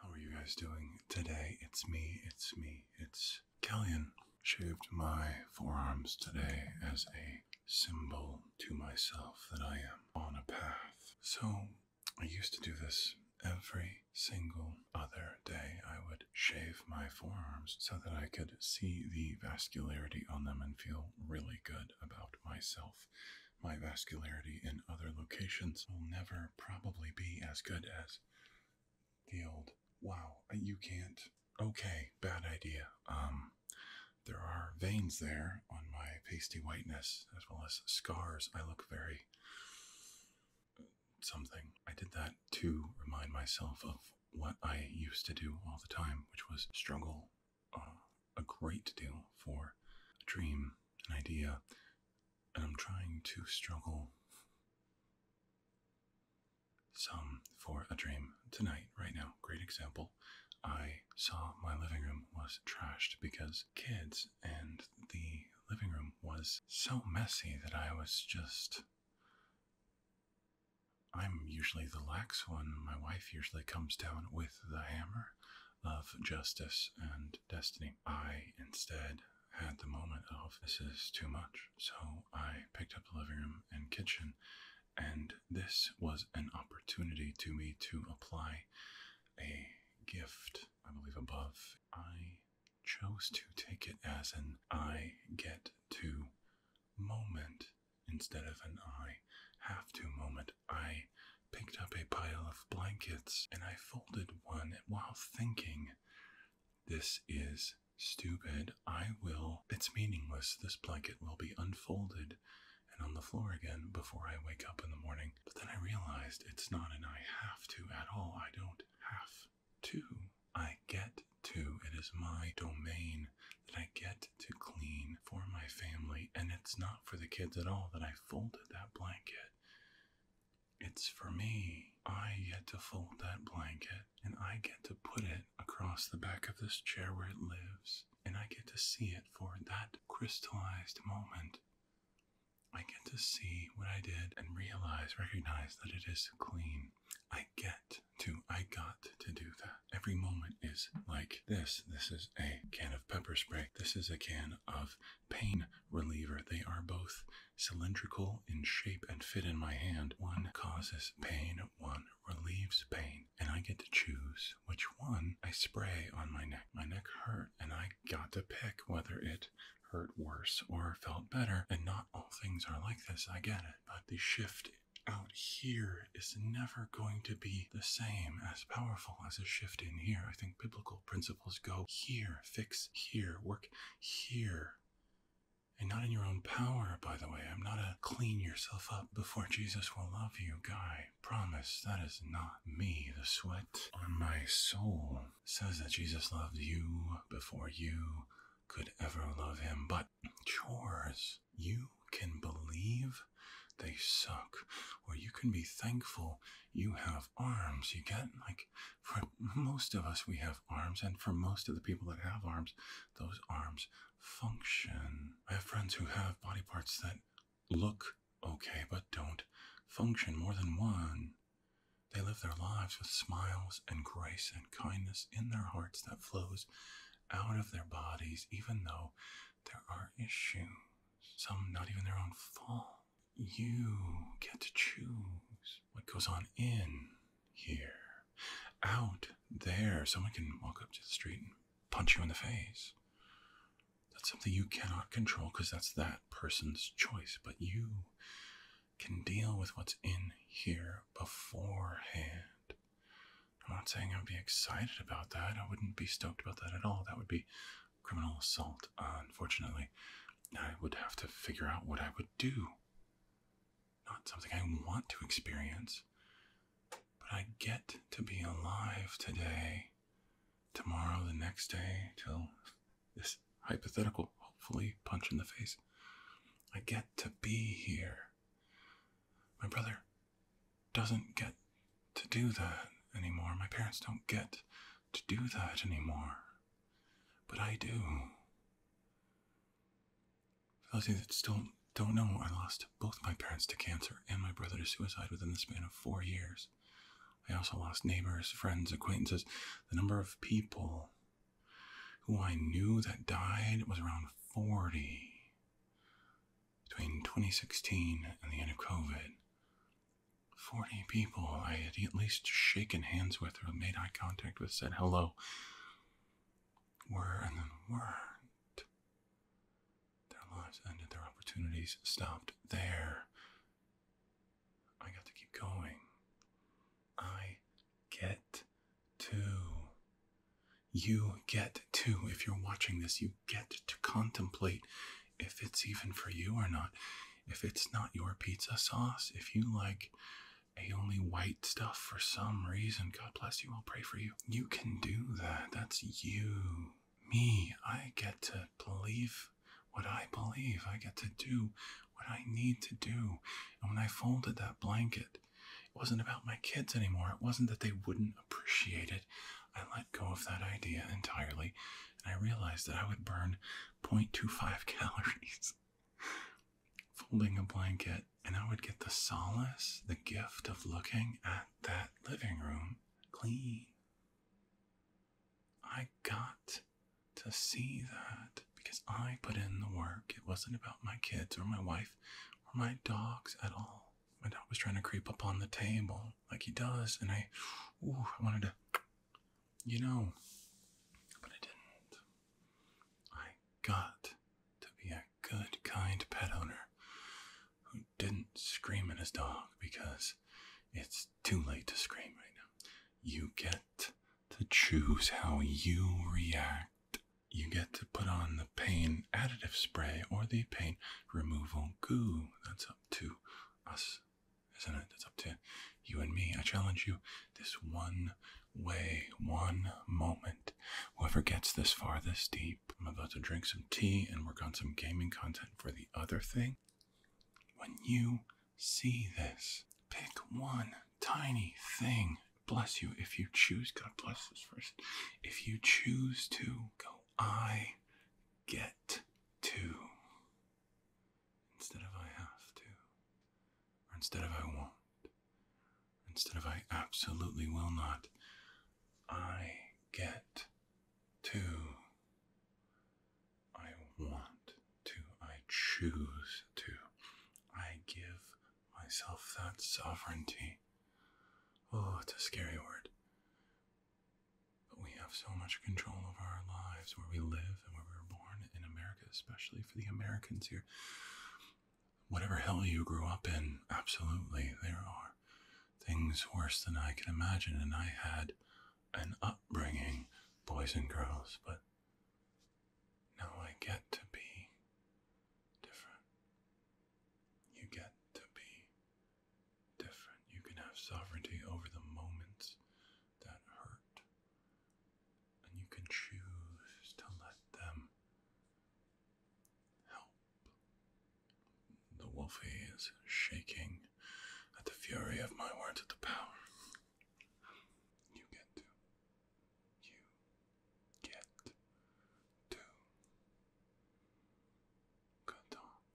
How are you guys doing today? It's me, it's me, it's Kellyan. Shaved my forearms today as a symbol to myself that I am on a path. So, I used to do this every single other day. I would shave my forearms so that I could see the vascularity on them and feel really good about myself. My vascularity in other locations will never probably be as good as the old wow, you can't. Okay, bad idea. Um, there are veins there on my pasty whiteness, as well as scars. I look very uh, something. I did that to remind myself of what I used to do all the time, which was struggle uh, a great deal for a dream, an idea, and I'm trying to struggle some for a dream tonight, right now. Great example. I saw my living room was trashed because kids and the living room was so messy that I was just. I'm usually the lax one. My wife usually comes down with the hammer of justice and destiny. I instead had the moment of this is too much. So I picked up the living room and kitchen, and this was an opportunity to me to apply a gift, I believe, above. I chose to take it as an I get to moment instead of an I have to moment. I picked up a pile of blankets and I folded one, while thinking, this is stupid, I will, it's meaningless, this blanket will be unfolded and on the floor again before I wake up in the morning. But then I realized it's not and I have to at all. I don't have to. I get to. It is my domain that I get to clean for my family, and it's not for the kids at all that I folded that blanket. It's for me. I get to fold that blanket and I get to put it across the back of this chair where it lives, and I get to see it for that crystallized moment. I get to see what I did and realize, recognize that it is clean. I get to, I got to do that. Every moment is like this. This is a can of pepper spray. This is a can of pain reliever. They are both cylindrical in shape and fit in my hand. One causes pain, one relieves pain, and I get to choose which one I spray on my neck. My neck hurt, and I got to pick whether it hurt worse or felt better. And not all things are like this, I get it, but the shift out here is never going to be the same as powerful as a shift in here. I think biblical principles go here, fix here, work here. And not in your own power, by the way. I'm not a clean yourself up before Jesus will love you guy. Promise, that is not me. The sweat on my soul says that Jesus loved you before you could ever love him. But chores, you can believe they suck, or you can be thankful you have arms. You get like for most of us, we have arms, and for most of the people that have arms, those arms function. I have friends who have body parts that look okay but don't function more than one. They live their lives with smiles and grace and kindness in their hearts that flows out of their bodies, even though there are issues, some not even their own fault. You get to choose what goes on in here, out there. Someone can walk up to the street and punch you in the face. That's something you cannot control because that's that person's choice, but you can deal with what's in here beforehand. I'm not saying I'd be excited about that. I wouldn't be stoked about that at all. That would be criminal assault. Uh, unfortunately, I would have to figure out what I would do. Not something I want to experience, but I get to be alive today, tomorrow, the next day, till this hypothetical, hopefully, punch in the face. I get to be here. My brother doesn't get to do that anymore. My parents don't get to do that anymore. But I do. For those of you that still don't know, I lost both my parents to cancer and my brother to suicide within the span of four years. I also lost neighbors, friends, acquaintances. The number of people who I knew that died was around 40 between 2016 and the end of COVID. 40 people I had at least shaken hands with or made eye contact with, said hello, were and then weren't. Their lives ended, their opportunities stopped there. I got to keep going. I get to. You get to, if you're watching this, you get to contemplate if it's even for you or not if it's not your pizza sauce, if you like a only white stuff for some reason, God bless you, I'll pray for you. You can do that. That's you. Me, I get to believe what I believe. I get to do what I need to do. And when I folded that blanket, it wasn't about my kids anymore. It wasn't that they wouldn't appreciate it. I let go of that idea entirely I realized that I would burn 0.25 calories folding a blanket, and I would get the solace, the gift of looking at that living room clean. I got to see that because I put in the work. It wasn't about my kids or my wife or my dogs at all. My dog was trying to creep up on the table like he does, and I, I wanted to you know, but I didn't. I got to be a good, kind pet owner who didn't scream at his dog because it's too late to scream right now. You get to choose how you react. You get to put on the pain additive spray or the pain removal goo. That's up to us isn't it? It's up to you and me. I challenge you this one way, one moment. Whoever gets this far, this deep, I'm about to drink some tea and work on some gaming content for the other thing. When you see this, pick one tiny thing. Bless you if you choose. God bless this first. If you choose to go, I get to instead of I have to, or instead of I won't, instead of I absolutely will not, I get to. I want to. I choose to. I give myself that sovereignty. Oh, it's a scary word. But we have so much control over our lives where we live and where we were born in America, especially for the Americans here. Whatever hell you grew up in, absolutely, there are things worse than I can imagine. And I had an upbringing, boys and girls, but now I get to be different. You get to be different. You can have sovereignty over the moments that hurt and you can choose to let them help. The wolfie is shaking at the fury of my words of the power. You get to. You get to. Good talk.